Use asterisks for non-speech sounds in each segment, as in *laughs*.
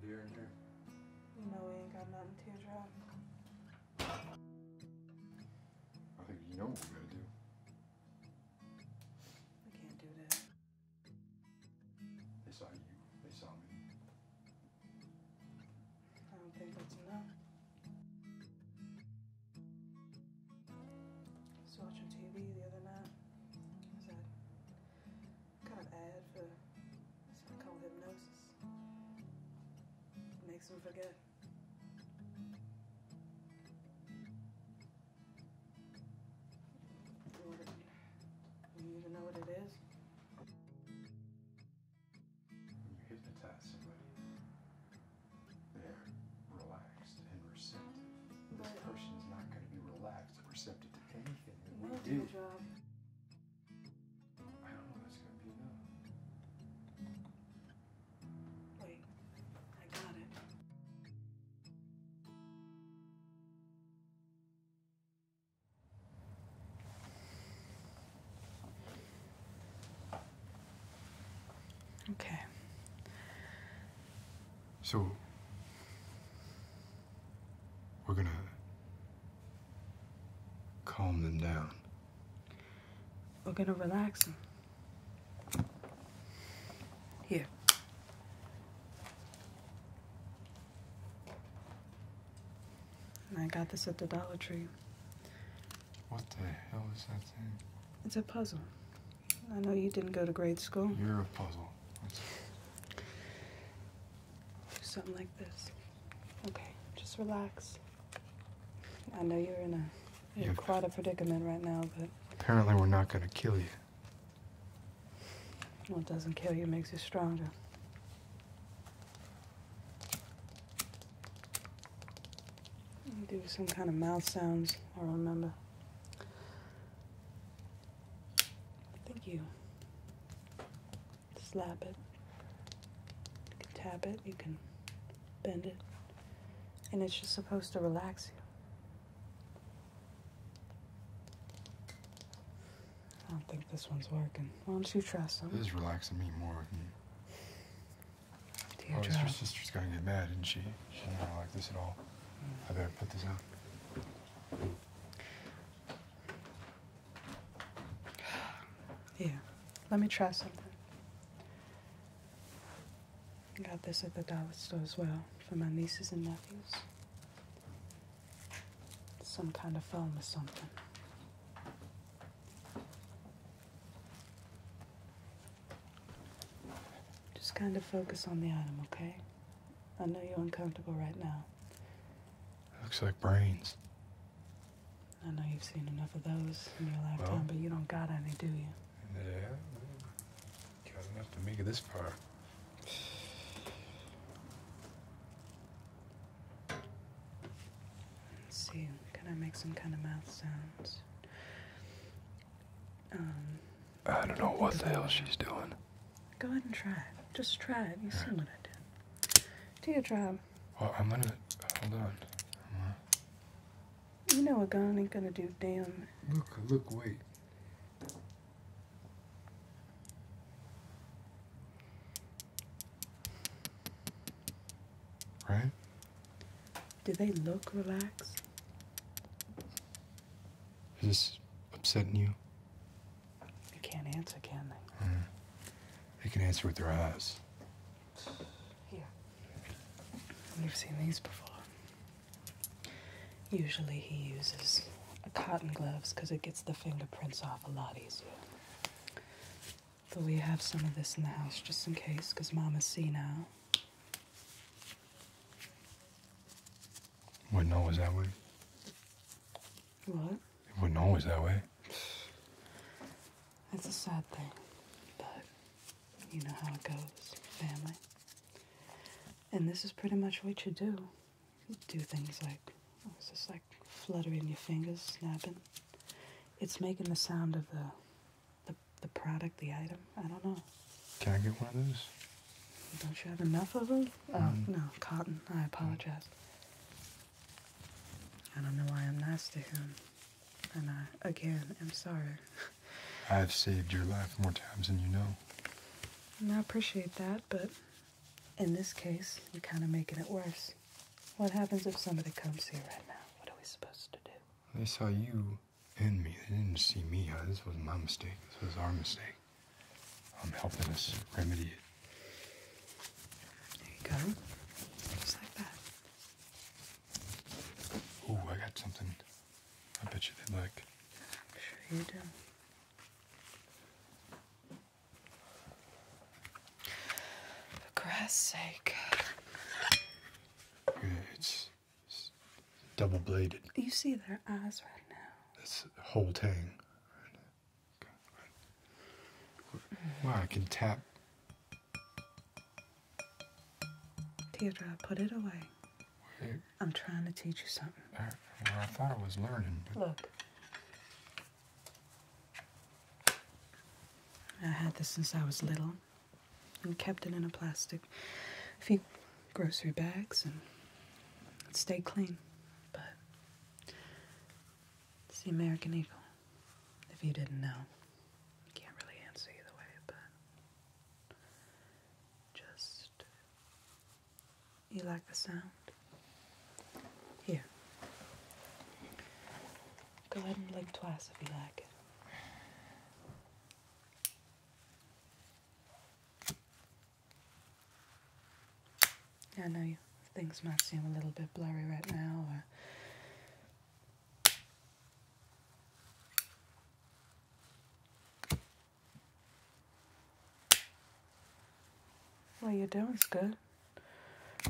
beer in here? You know we ain't got nothing to drop. I think you know what we're gonna do. We can't do that. They saw you. They saw me. I don't think that's enough. I watching TV the other night. was a kind of ad for something called hypnosis. Makes them forget. You even know what it is? you hypnotize somebody, they're relaxed and receptive. But this person's not going to be relaxed or receptive to anything that we do. I don't know that's going to be enough. Okay. So, we're gonna calm them down. We're going to relax Here. I got this at the Dollar Tree. What the hell is that thing? It's a puzzle. I know you didn't go to grade school. You're a puzzle. Something like this. Okay, just relax. I know you're in a you're in quite a predicament right now, but. Apparently, we're not going to kill you. What doesn't kill you makes you stronger. do some kind of mouth sounds, I remember. I think you slap it, you can tap it, you can bend it. And it's just supposed to relax you. I don't think this one's working. Why don't you try some? This is relaxing me more. Than... Oh, your sister's gonna get mad, isn't she? She does not like this at all. Mm. I better put this out. Yeah. Let me try something. I got this at the dollar store as well for my nieces and nephews. Some kind of film or something. Just kind of focus on the item, okay? I know you're uncomfortable right now. Looks like brains. I know you've seen enough of those in your lifetime, but you don't got any, do you? Yeah, got enough to make it this far. Let's see, can I make some kind of mouth sounds? Um, I don't know what the hell she's doing. Go ahead and try it. Just try it. You see what I did. Do your job. I'm gonna hold on. You know a gun ain't gonna do damn. Look! Look! Wait. Right? Do they look relaxed? Is this upsetting you? They can't answer, can they? Mm. They can answer with their eyes. Yeah. You've seen these before. Usually he uses cotton gloves because it gets the fingerprints off a lot easier. Though we have some of this in the house just in case because Mama's now. Wouldn't always that way. What? It wasn't always that way. It's a sad thing, but you know how it goes, family. And this is pretty much what you do. do things like, it's just like fluttering your fingers, snapping. It's making the sound of the, the, the product, the item. I don't know. Can I get one of those? Don't you have enough of them? Oh, mm. no, cotton. I apologize. I don't know why I'm nice to him. And I, again, am sorry. *laughs* I've saved your life more times than you know. And I appreciate that, but in this case, you're kind of making it worse. What happens if somebody comes here right now? What are we supposed to do? They saw you and me. They didn't see me. Uh, this was my mistake. This was our mistake. I'm helping us remedy it. There you go. Just like that. Ooh, I got something. I bet you they'd like. I'm sure you do. For grass' sake. it's, double bladed. You see their eyes right now. That's whole tang. Wow, I can tap Deirdre, put it away. I'm trying to teach you something. I, thought I was learning. Look. I had this since I was little and kept it in a plastic few grocery bags and it stayed clean. But it's the American Eagle. If you didn't know, I can't really answer either way, but just you like the sound? Here. Go ahead and blink twice if you like it. I know you things might seem a little bit blurry right now. Uh. What are you doing? doing's good.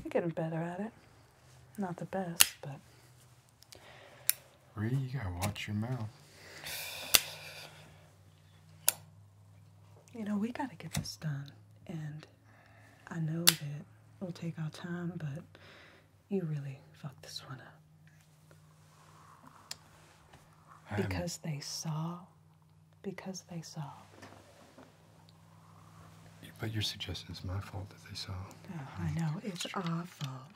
You're getting better at it. Not the best, but. Ree, you gotta watch your mouth. You know, we gotta get this done, and I know that it'll take our time, but you really fucked this one up. Because they saw. Because they saw. But you're suggesting it's my fault that they saw. Oh, I know. It's our fault.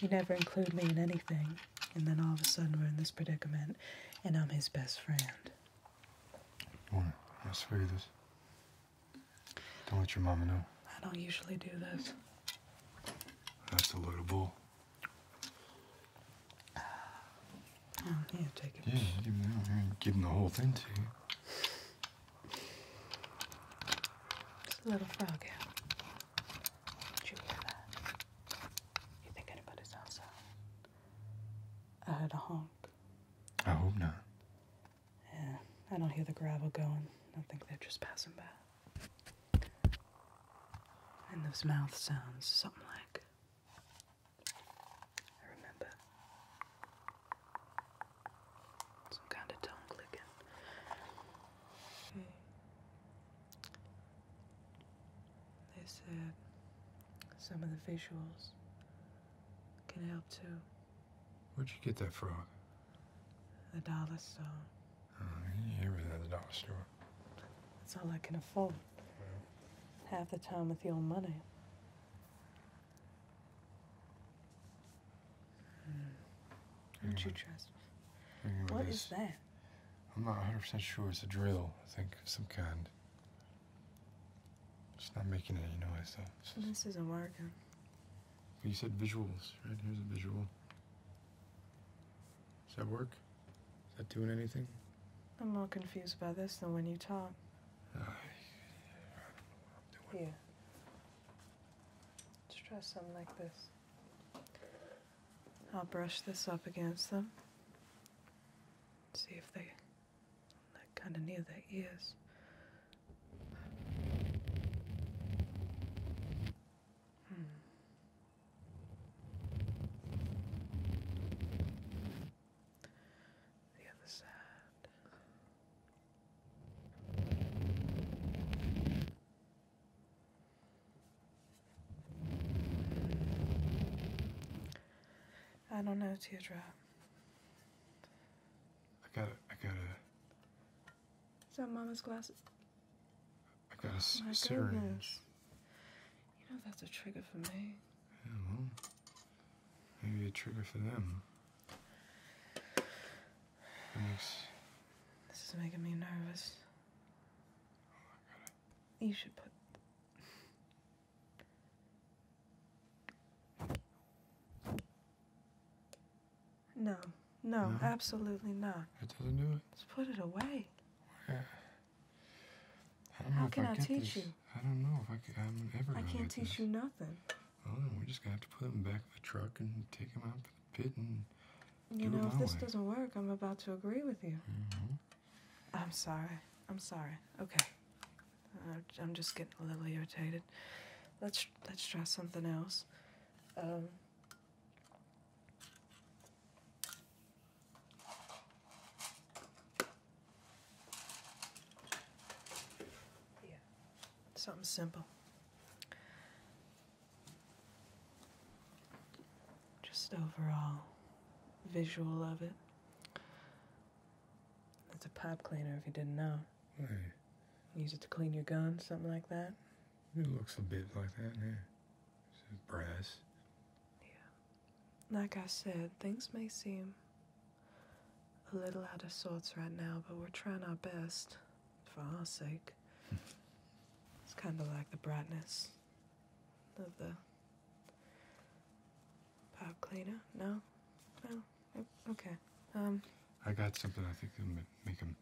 You never include me in anything. And then all of a sudden we're in this predicament, and I'm his best friend. You want to, this? Don't let your mama know. I don't usually do this. That's a load of bull. *sighs* Oh, yeah, take it. Yeah, give him, the whole thing to you. Just a little frog Did you hear that? You think anybody's outside? I heard a honk. I hope not. Yeah, I don't hear the gravel going. I think they're just passing by. And those mouth sounds, something like. I remember. Some kind of tongue clicking. They said some of the visuals can help too. Where'd you get that frog? The dollar store. Oh, yeah, it was the dollar store. That's all I can afford. Half the time with your money. Don't you trust What is that? I'm not 100% sure. It's a drill, I think, some kind. It's not making any noise though. It's well, this isn't working. You said visuals, right? Here's a visual. Does that work? Is that doing anything? I'm more confused by this than when you talk. yeah. Let's try something like this. I'll brush this up against them. See if they like kind of near their ears. Hmm. The other side. I don't know, teardrop. I gotta, I gotta. Is that Mama's glasses? I got a oh my syringe. Goodness. You know that's a trigger for me. I know. Maybe a trigger for them. Thanks. This is making me nervous. Oh, you should put. No, no, absolutely not. It doesn't do it. Let's put it away. I don't How can I, teach you? I don't know if I can, ever. I can't teach you nothing. Well, we're just gonna have to put him back in the truck and take him out to the pit and. You know, if this doesn't work, I'm about to agree with you. Mm-hmm. I'm sorry. I'm sorry. Okay. I'm just getting a little irritated. Let's let's try something else. Um, yeah, something simple. Just overall visual of it. It's a pipe cleaner if you didn't know. Use it to clean your gun, something like that? It looks a bit like that, yeah. It's brass. Yeah. Like I said, things may seem a little out of sorts right now, but we're trying our best for our sake. *laughs* it's kind of like the brightness of the Pop cleaner? No? No? Okay. Um. I got something I think can make him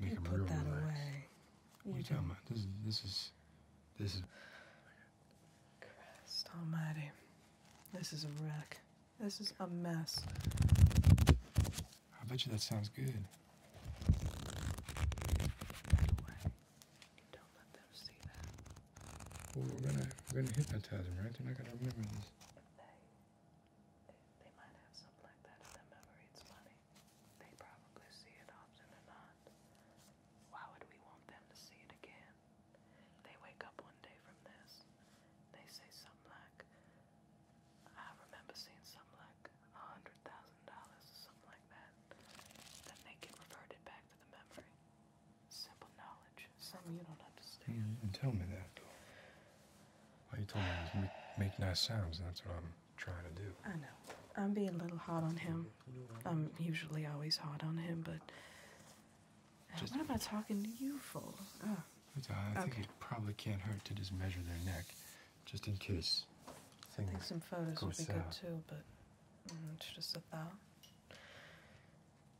make him put real that away. What you are you talking about? This is this is this is. Christ Almighty! This is a wreck. This is a mess. I bet you that sounds good. Don't let them see that. we're gonna we're gonna hypnotize them, right? They're not gonna remember this. They, they they might have something like that in their memory. It's funny. They probably see it often or not. Why would we want them to see it again? They wake up one day from this. They say something like, I remember seeing something like a hundred thousand dollars something like that. Then they can revert back to the memory. Simple knowledge. Something you don't understand. Mm, and tell me that, though. All you told me was make, nice sounds, and that's what I'm trying to do. I know. I'm being a little hot on him. I'm usually always hot on him, but. Uh, what am I talking to you for? Ah. Uh, I think it probably can't hurt to just measure their neck, just in case I think some photos would be good too, but mm, it's just a thought.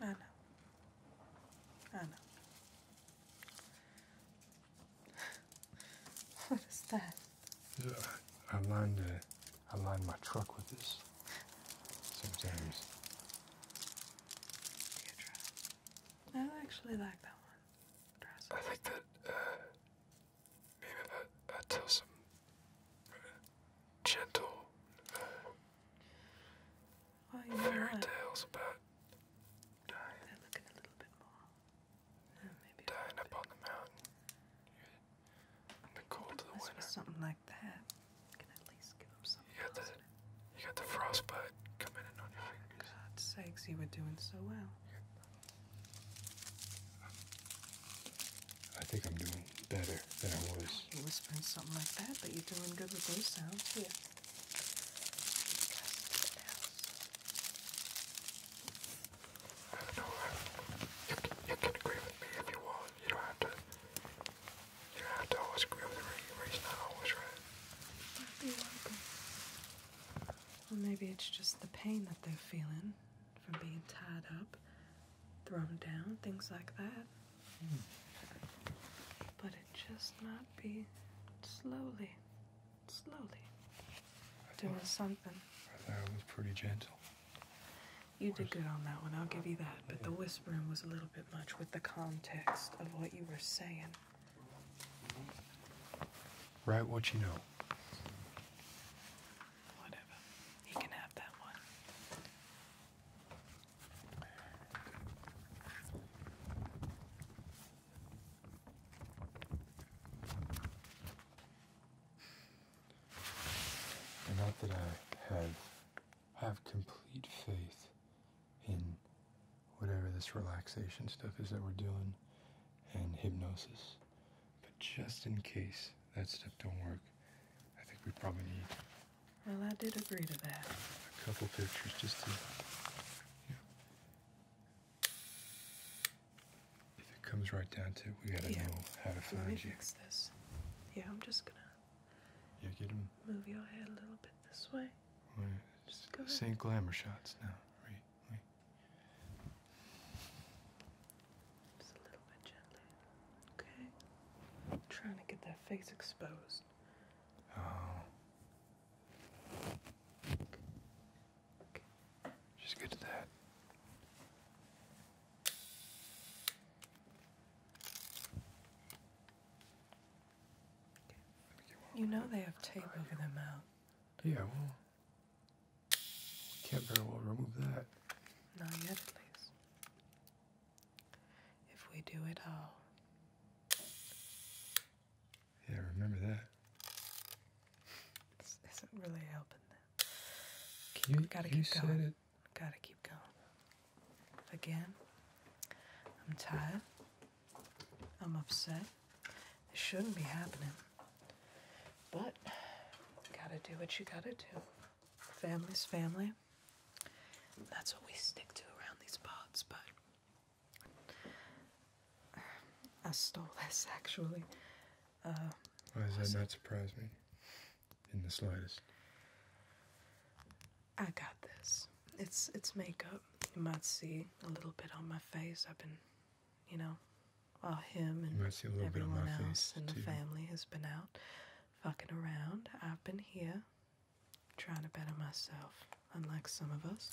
I know. I know. what is that? I, I lined a, I lined my truck with this. Sometimes. I actually like that one. Dress. I like that uh, maybe I, I tell uh, gentle. Uh, fairy tales about dying. They're looking a little bit more. Oh, maybe dying up on the mountain in the cold of the winter. Something like that. can at least give them something. You got the, you got the frostbite coming in on your fingers. For sakes, you were doing so well. I think I'm doing better than I was. whispering something like that, but you're doing good with those sounds. Here. I don't know you, you can agree with me if you want. You don't have to. You don't have to always agree with me. Ray's not always right. Might be welcome. Well, maybe it's just the pain that they're feeling from being tied up, thrown down, things like that. But it just might be slowly, slowly doing something. I thought I was pretty gentle. You did good on that one, I'll give you that. But the whispering was a little bit much with the context of what you were saying. Write what you know. Whatever. He can have that one not that I have have complete faith in whatever this relaxation stuff is that we're doing and hypnosis. But just in case that stuff don't work, I think we probably need well, I did agree to that. A couple pictures just to. You if it comes right down to it, we gotta know how to find Let me you. Fix this. Yeah, I'm just gonna. Yeah, get him. Move your head a little bit this way. Right. Just glamour shots now. Right, Just a little bit gently. Okay. trying to get that face exposed. Oh. Okay. Just get that. You know they have tape over their mouth. Yeah, well, can't very well remove that. Not yet, at least if we do it all. Yeah, remember that. This not really helping that. you, gotta keep going. Gotta keep going. Again, I'm tired. I'm upset. It shouldn't be happening. But gotta do what you gotta do. Family's family. That's what we stick to around these parts, but I stole this actually. Why does that not surprise me in the slightest? I got this. It's it's makeup. You might see a little bit on my face. I've been, you know, while him and everyone else and the family has been out fucking around. I've been here trying to better myself, unlike some of us.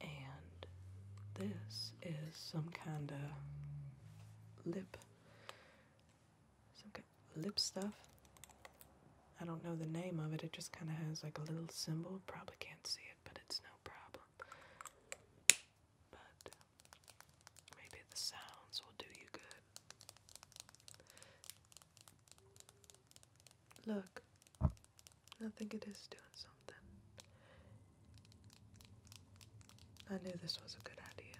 And this is some kind of lip, some kind lip stuff. I don't know the name of it. It just kind of has like a little symbol. Probably can't see it, but it's no problem. But maybe the sounds will do you good. Look, I think it is doing something. I knew this was a good idea.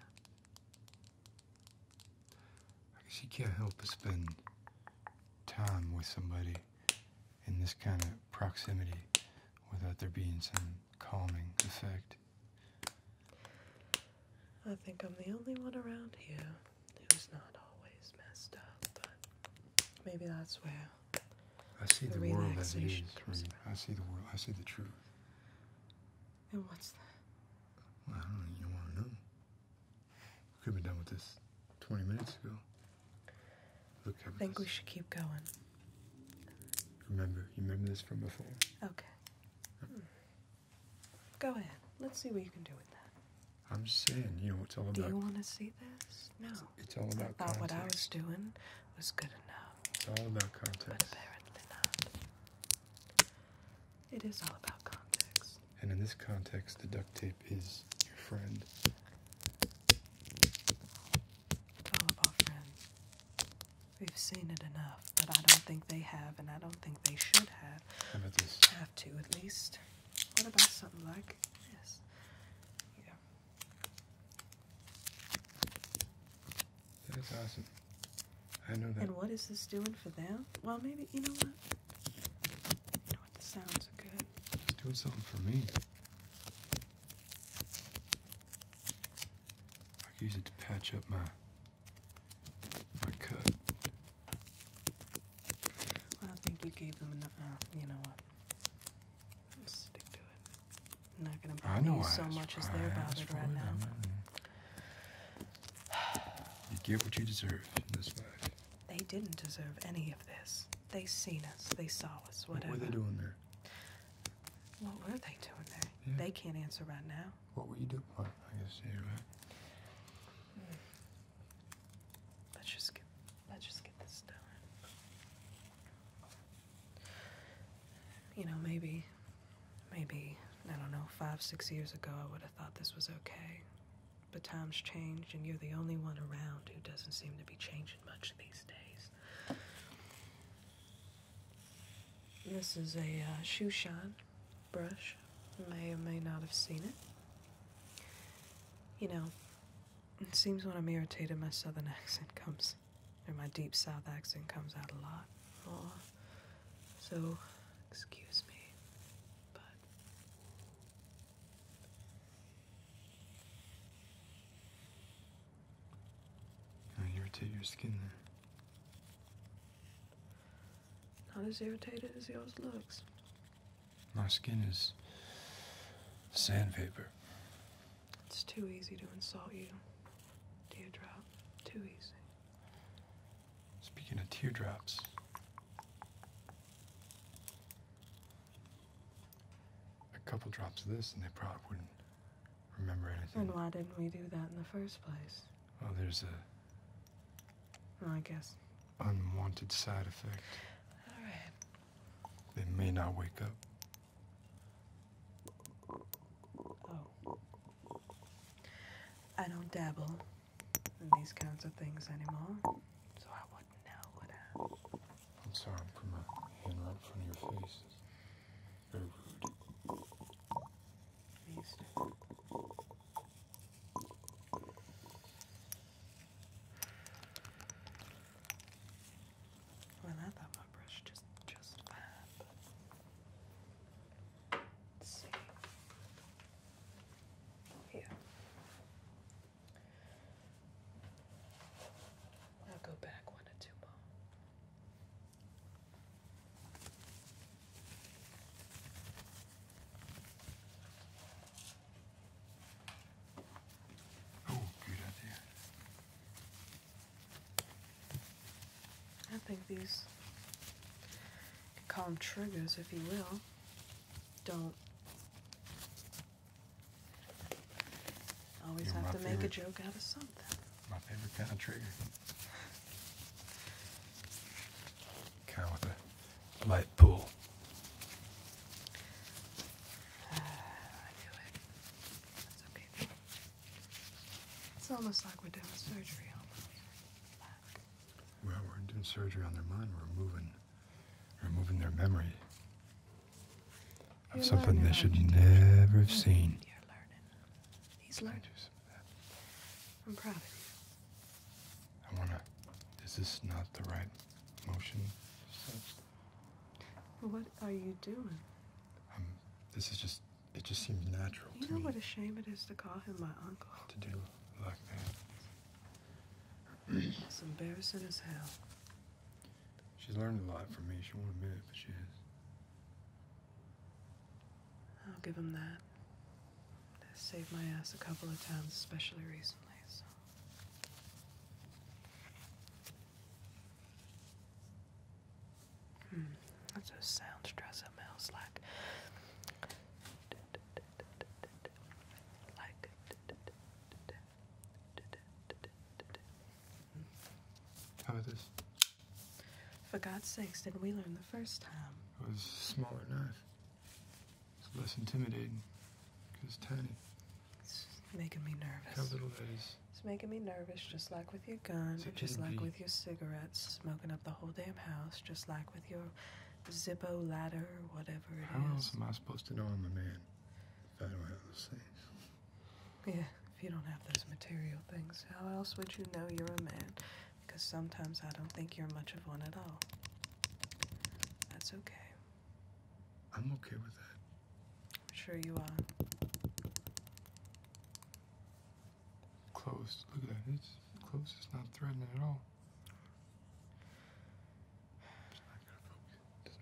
I guess you can't help but spend time with somebody in this kind of proximity without there being some calming effect. I think I'm the only one around here who's not always messed up, but maybe that's where I see the, world as it is. I see the world. I see the truth. And what's that? I don't even want to know. We could have done with this 20 minutes ago. Look, I think we should keep going. Remember, you remember this from before. Okay. Hmm. Go ahead. Let's see what you can do with that. I'm saying, you know, it's all about. Do you want to see this? No. It's all about. I thought context. what I was doing was good enough. It's all about context. But apparently not. It is all about context. And in this context, the duct tape is your friend. It's friends. We've seen it enough, but I don't think they have, and I don't think they should have have to at least. What about something like this? Yeah. That is awesome. I know that. And what is this doing for them? Well, maybe, you know what? You know what? The sounds good. It's doing something for me. I could use it to patch up my I could. I don't think you gave them enough. Uh, you know what? Uh, stick to it. I'm not gonna bother you so much as they're bothered right now. You get what you deserve in this They didn't deserve any of this. They seen us. They saw us. Whatever. What were they doing there? What were they doing there? They can't answer right now. What were you doing? you, Let's just let's just get this done. You know, maybe maybe, I don't know, five, six years ago I would have thought this was okay. But times changed and you're the only one around who doesn't seem to be changing much these days. This is a uh, shoe shine brush. may or may not have seen it. You know, it seems when I'm irritated, my southern *laughs* accent comes, and my deep south accent comes out a lot. So, excuse me, but. irritate your skin there. Not as irritated as yours looks. My skin is sandpaper. It's too easy to insult you, teardrop. Too easy. Speaking of teardrops, a couple drops of this and they probably wouldn't remember anything. And why didn't we do that in the first place? Well, there's a I guess. Unwanted side effect. All right. They may not wake up. Oh. I don't dabble in these kinds of things anymore, so I wouldn't know, would I? I'm sorry, I'm putting my hand right in front of your face. It's very rude. Well, I thought my brush just just fine, let's see. Here. I'll go back one or two more. I think these, you call them triggers if you will, don't always have to make a joke out of something. My favorite kind of trigger. Kind of with a light pull. I knew it. That's okay. It's almost like we're doing surgery on Well, we're doing surgery on their mind. We're moving, removing their memory of something they should never have seen. He's learning. I'm proud of you. I wanna. Is this not the right motion? What are you doing? this is just. It just seems natural. You know what a shame it is to call him my uncle. To do like that. it's embarrassing as hell. She's learned a lot from me. She won't admit it, but she has. I'll give him that. That saved my ass a couple of times, especially recently. So. Hmm, that's what sound stress smells like. Like. How this? For God's sakes, didn't we learn the first time? It was a smaller knife. It's less intimidating because it's tiny. It's making me nervous. How little that is. It's making me nervous, just like with your gun, just like with your cigarettes, smoking up the whole damn house, just like with your Zippo ladder, whatever it is. How else am I supposed to know I'm a man if I don't have those things? Yeah, if you don't have those material things, how else would you know you're a man? because sometimes I don't think you're much of one at all. That's okay. I'm okay with that. I'm sure you are. Close. Look at that. It's close. It's not threatening at all. It's not gonna focus.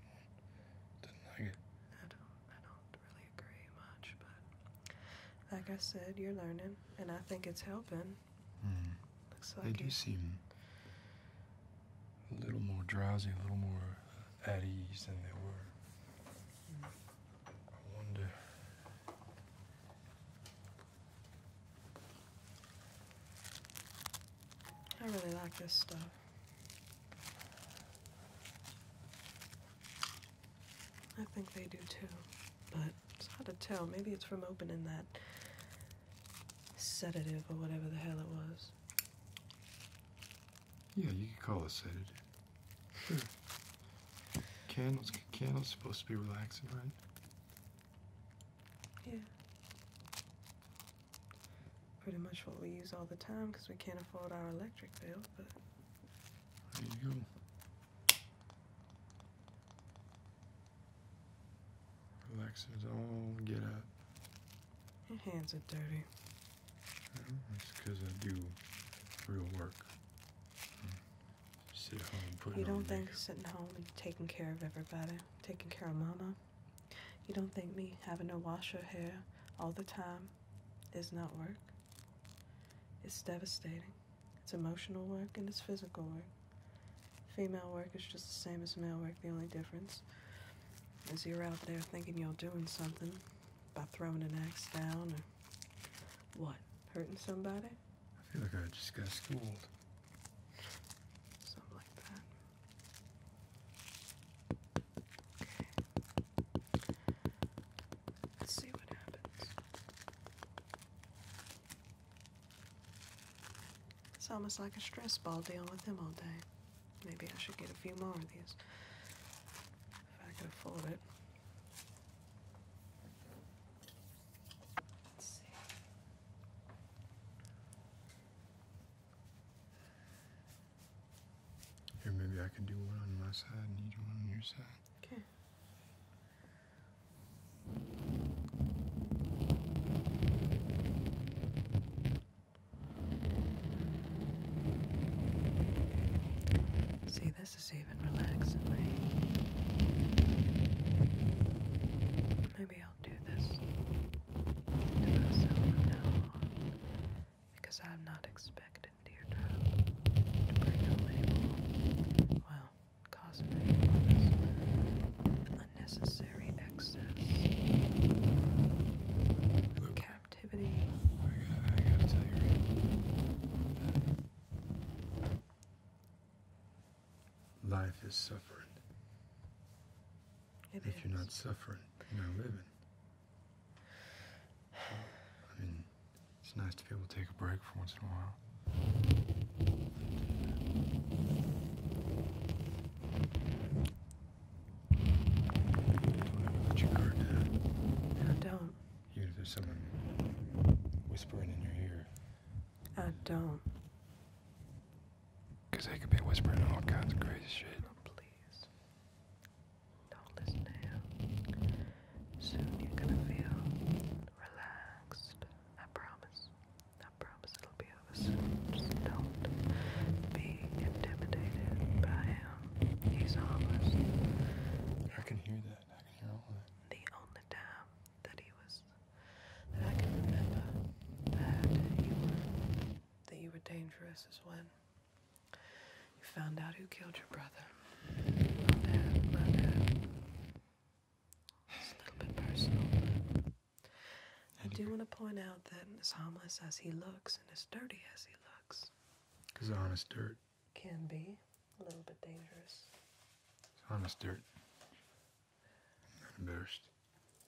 not like it. I don't. I don't really agree much, but like I said, you're learning, and I think it's helping. Mm. they do seem a little more drowsy, a little more at ease than they were. I wonder. I really like this stuff. I think they do too, but it's hard to tell. Maybe it's from opening that sedative or whatever the hell it was. Yeah, you could call it sedative. Sure. Candles, candles supposed to be relaxing, right? Yeah. Pretty much what we use all the time because we can't afford our electric bill, but. There you go. Alexa's all get up. Your hands are dirty. Well, I do real work. Sit home, You don't think sitting home and taking care of everybody, taking care of mama, you don't think me having to wash her hair all the time is not work? It's devastating. It's emotional work and it's physical work. Female work is just the same as male work. The only difference is you're out there thinking you're doing something by throwing an axe down or what? Hurting somebody? I feel like I just got schooled. Something like that. Okay. Let's see what happens. It's almost like a stress ball dealing with them all day. Maybe I should get a few more of these. If I could afford it. Let's see. Here, maybe I can do one on my side and you do one on your side. Okay. See, this is even relaxing me. Maybe I'll do this to myself now because I'm not expecting into child bring out label. Well, causing unnecessary excess. Look. Captivity. I gotta, I gotta tell you Life is suffering. if you're not suffering, you're not living. I mean, it's nice to be able to take a break for once in a while. Don't let your guard down. I don't. Even if there's someone whispering in your ear. I don't. they could be whispering all kinds of crazy shit. Oh, please. Don't listen to him. Soon you're gonna feel relaxed. I promise. I promise it'll be over soon. Just don't be intimidated by him. He's harmless. I can hear that. I The only time that he was that I can remember that you were that you were dangerous is when you found out who killed your brother. It's a little bit personal, I do want to point out that as harmless as he looks and as dirty as he looks, because honest dirt can be a little bit dangerous. honest dirt. embarrassed.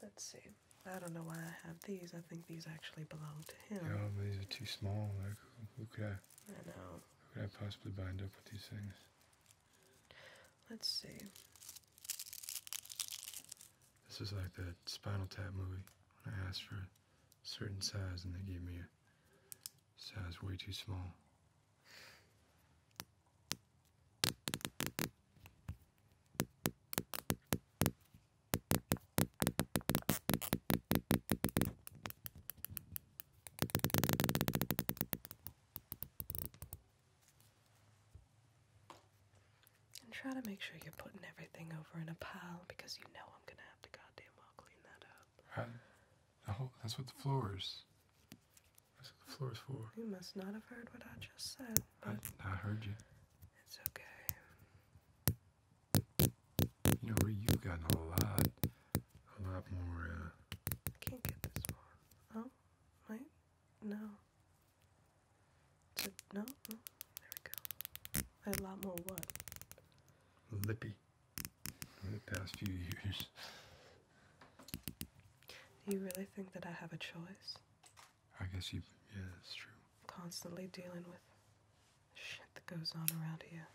Let's see. I don't know why I have these. I think these actually belong to him. Yeah, these are too small. Like, who could I know. How could I possibly bind up with these things? Let's see. This is like that Spinal Tap movie when I asked for a certain size and they gave me a size way too small. And try to make sure you're putting everything over in a pile because you know I'm gonna have to goddamn well clean that up. that's what the floor is. That's what the floor is for. You must not have heard what I just said. I, I heard you. It's okay. You know, you've gotten a lot, a lot more. Uh, can't get this one. Oh, wait, no. no, mm, there we go. A lot more what? Lippy. In the past few years. Do you really think that I have a choice? I guess you. Yeah, that's true. Constantly dealing with shit that goes on around here.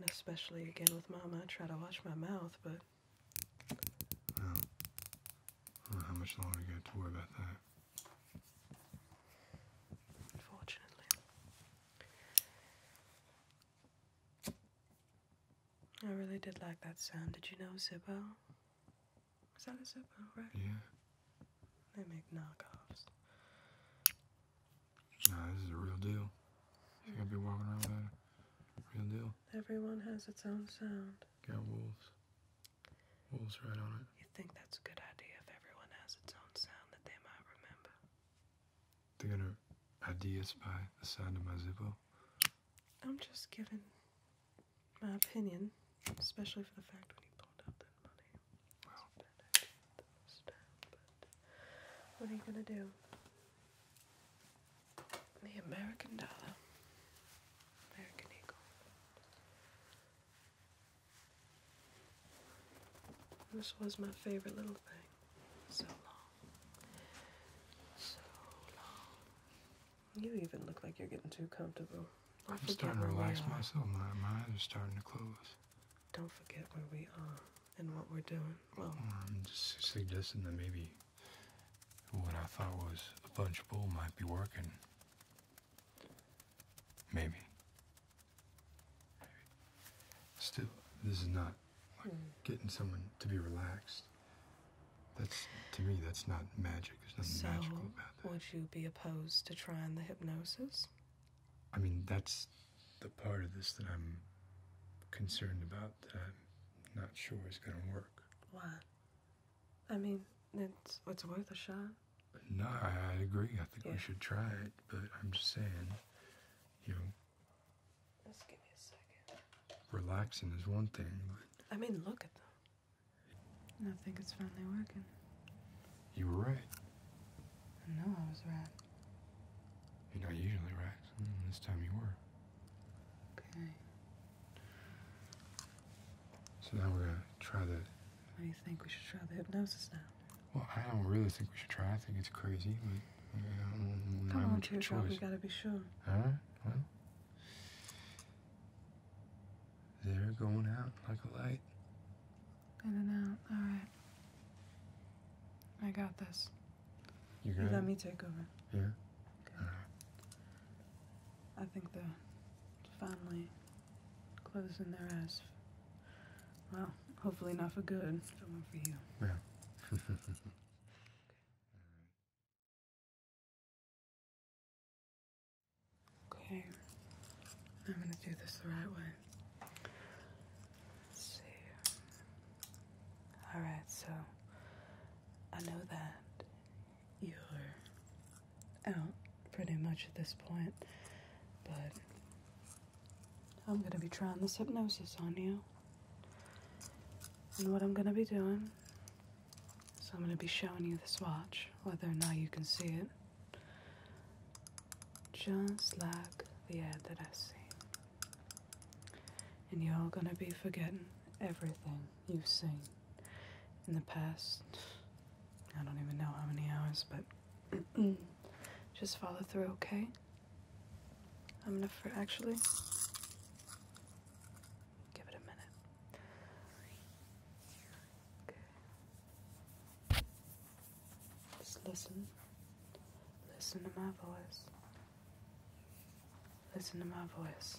And especially again with Mama, I try to watch my mouth, but. Well, well how much longer you got to worry about that? Unfortunately. I really did like that sound. Did you know Zippo? Is that a Zippo, right? Yeah. They make knockoffs. Nah, this is a real deal. You're to be walking around with that. Real deal. Everyone has its own sound. Got wolves. Wolves right on it. You think that's a good idea if everyone has its own sound that they might remember? They're gonna ideas by the sound of my Zippo? I'm just giving my opinion, especially for the fact when you pulled out that money what are you gonna do? The American dollar. American Eagle. This was my favorite little thing. So long. So long. You even look like you're getting too comfortable. I'm starting to relax myself My eyes are starting to close don't forget where we are and what we're doing. Well, I'm just suggesting that maybe what I thought was a punch bull might be working. Maybe. Still, this is not like hmm. getting someone to be relaxed. That's to me. That's not magic. There's nothing magical about that. would you be opposed to trying the hypnosis? I mean, that's the part of this that I'm concerned about that I'm not sure is going to work. Why? I mean, it's, it's worth a shot. No, I, agree. I think we should try it, but I'm just saying, you know. Just give me a second. Relaxing is one thing, I mean, look at them. I think it's finally working. You were right. I know I was right. You're not usually right. Mm, this time you were. Okay. So now we're gonna try the. What do you think we should try the hypnosis now? Well, I don't really think we should try. I think it's crazy. Like, want to on, it. We gotta be sure. All right. they're going out like a light. In and out. All right. I got this. You got you let me take over. Yeah. All right. I think they're finally closing their eyes. Well, hopefully not for good, but one for you. Yeah. *laughs* Okay, I'm gonna do this the right way. see. Alright, so I know that you're out pretty much at this point, but I'm gonna be trying this hypnosis on you. And what I'm gonna be doing is I'm gonna be showing you this watch, whether or not you can see it. Just like the ad that I see, And you're all gonna be forgetting everything you've seen in the past. I don't even know how many hours, but *clears throat* just follow through, okay? I'm gonna actually give it a minute. Just listen. Listen to my voice. Listen to my voice.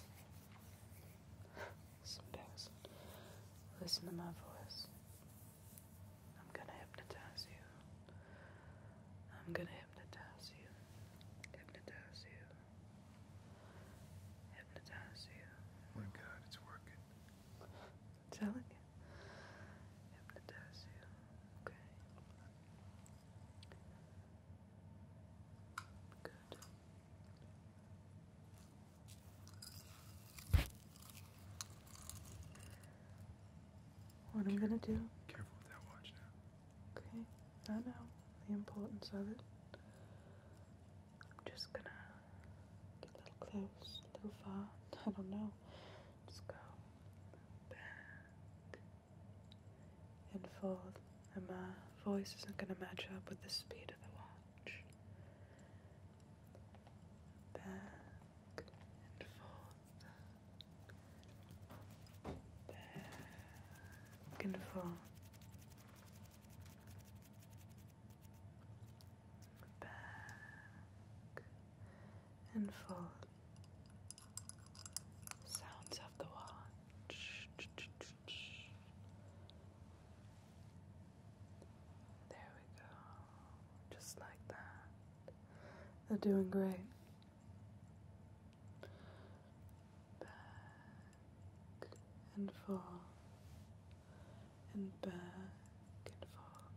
it's *sighs* Listen to my voice. I'm gonna hypnotize you. I'm gonna hypnotize you. Hypnotize you. Hypnotize you. my god, it's working. I'm telling you. Hypnotize you. Okay. Good. What I'm gonna do. Careful with that watch now. Okay, I know the importance of it. I'm just gonna a little close, a little far. *laughs* I don't know. Just go back and forth. And my voice isn't going to match up with the speed of the watch. Back and forth. Back and forth back and forth. Sounds of the watch. There we go. Just like that. They're doing great. Back and forth and back and forth.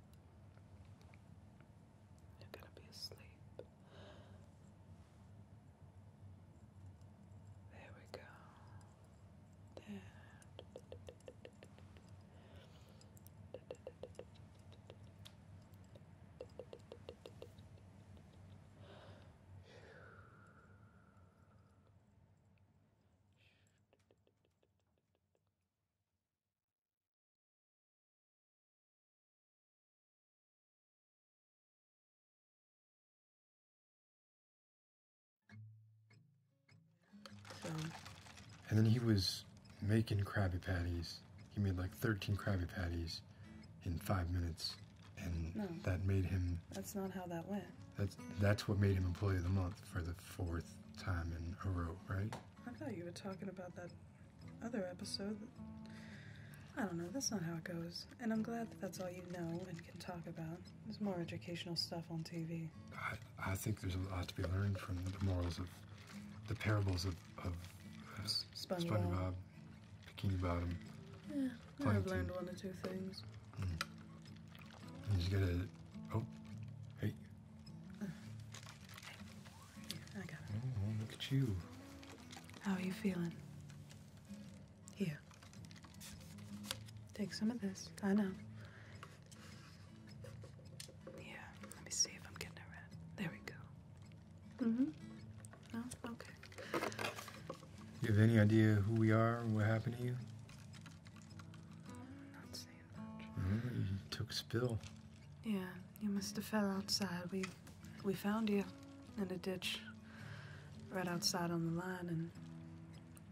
You're gonna be asleep. There we go. There. And then he was making Krabby Patties. He made like 13 Krabby Patties in five minutes. And that made him. That's not how that went. That's, that's what made him Employee of the Month for the fourth time in a row, right? I thought you were talking about that other episode. I don't know, that's not how it goes. And I'm glad that that's all you know and can talk about. There's more educational stuff on TV. I, think there's a lot to be learned from the morals of the parables of, uh, SpongeBob. SpongeBob, Bikini Bottom. Yeah, I've learned one or two things. You mm. just gotta. Oh, hey. I got it. Oh, look at you. How are you feeling? Here. Take some of this. I know. Yeah, let me see if I'm getting it right. There we go. Mm hmm. No? Okay. You have any idea who we are or what happened to you? I'm not saying much. Remember, you took spill. Yeah, you must have fell outside. We, we found you in a ditch right outside on the line and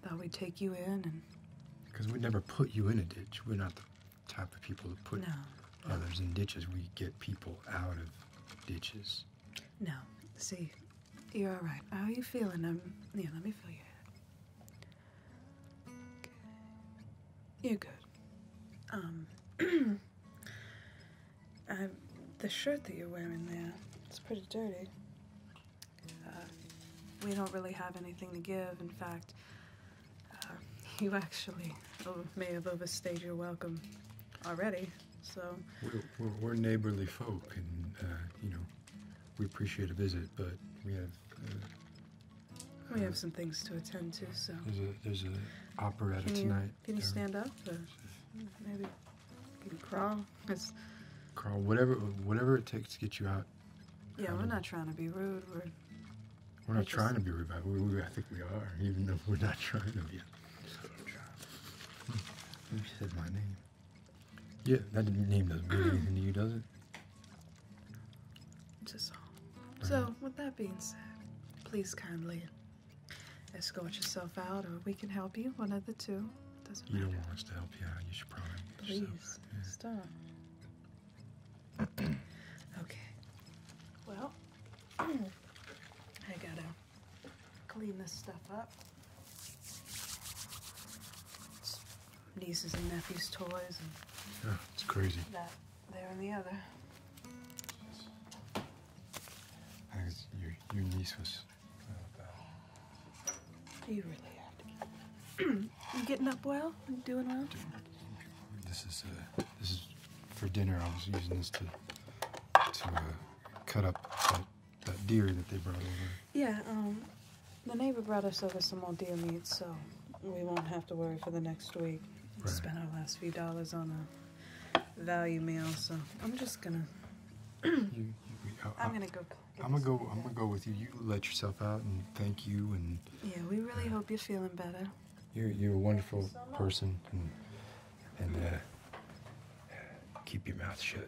thought we'd take you in Because we never put you in a ditch. We're not the type of people to put others in ditches. We get people out of ditches. No. See, you're all right. How are you feeling? Yeah, let me feel you. You're good. Um, *clears throat* the shirt that you're wearing there, it's pretty dirty. Uh, we don't really have anything to give. In fact, uh, *laughs* you actually may have overstayed your welcome already. So we're, neighborly folk, and uh, you know we appreciate a visit, but we have. Uh, we have some things to attend to, so. There's a there's an operetta tonight. Can you stand up, or maybe you can crawl? crawl, whatever whatever it takes to get you out. Yeah, we're um, not trying to be rude. We're we're not trying to be rude, I think we are, even though we're not *laughs* trying to be. You *laughs* said my name. Yeah, that name doesn't mean anything to you, does it? It's a So, with that being said, please kindly escort yourself out, or we can help you. One of the two. Doesn't you don't want us to help you out. You should probably. Please stop. *clears throat* okay. Well, *clears throat* I gotta clean this stuff up nieces and nephews' toys. And yeah, it's crazy. That there and the other. I think your, your niece was uh, You really *clears throat* you getting up well? You doing well? This is uh, this is for dinner. I was using this to to uh, cut up that deer that they brought over. Yeah, um, the neighbor brought us over some more deer meat, so we won't have to worry for the next week. Right. Spent our last few dollars on a value meal, so I'm just gonna. *clears throat* I'm gonna go. I'm gonna go. I'm gonna go with you. You let yourself out, and thank you. And yeah, we really hope you're feeling better. You're you're a wonderful person, and and uh, keep your mouth shut.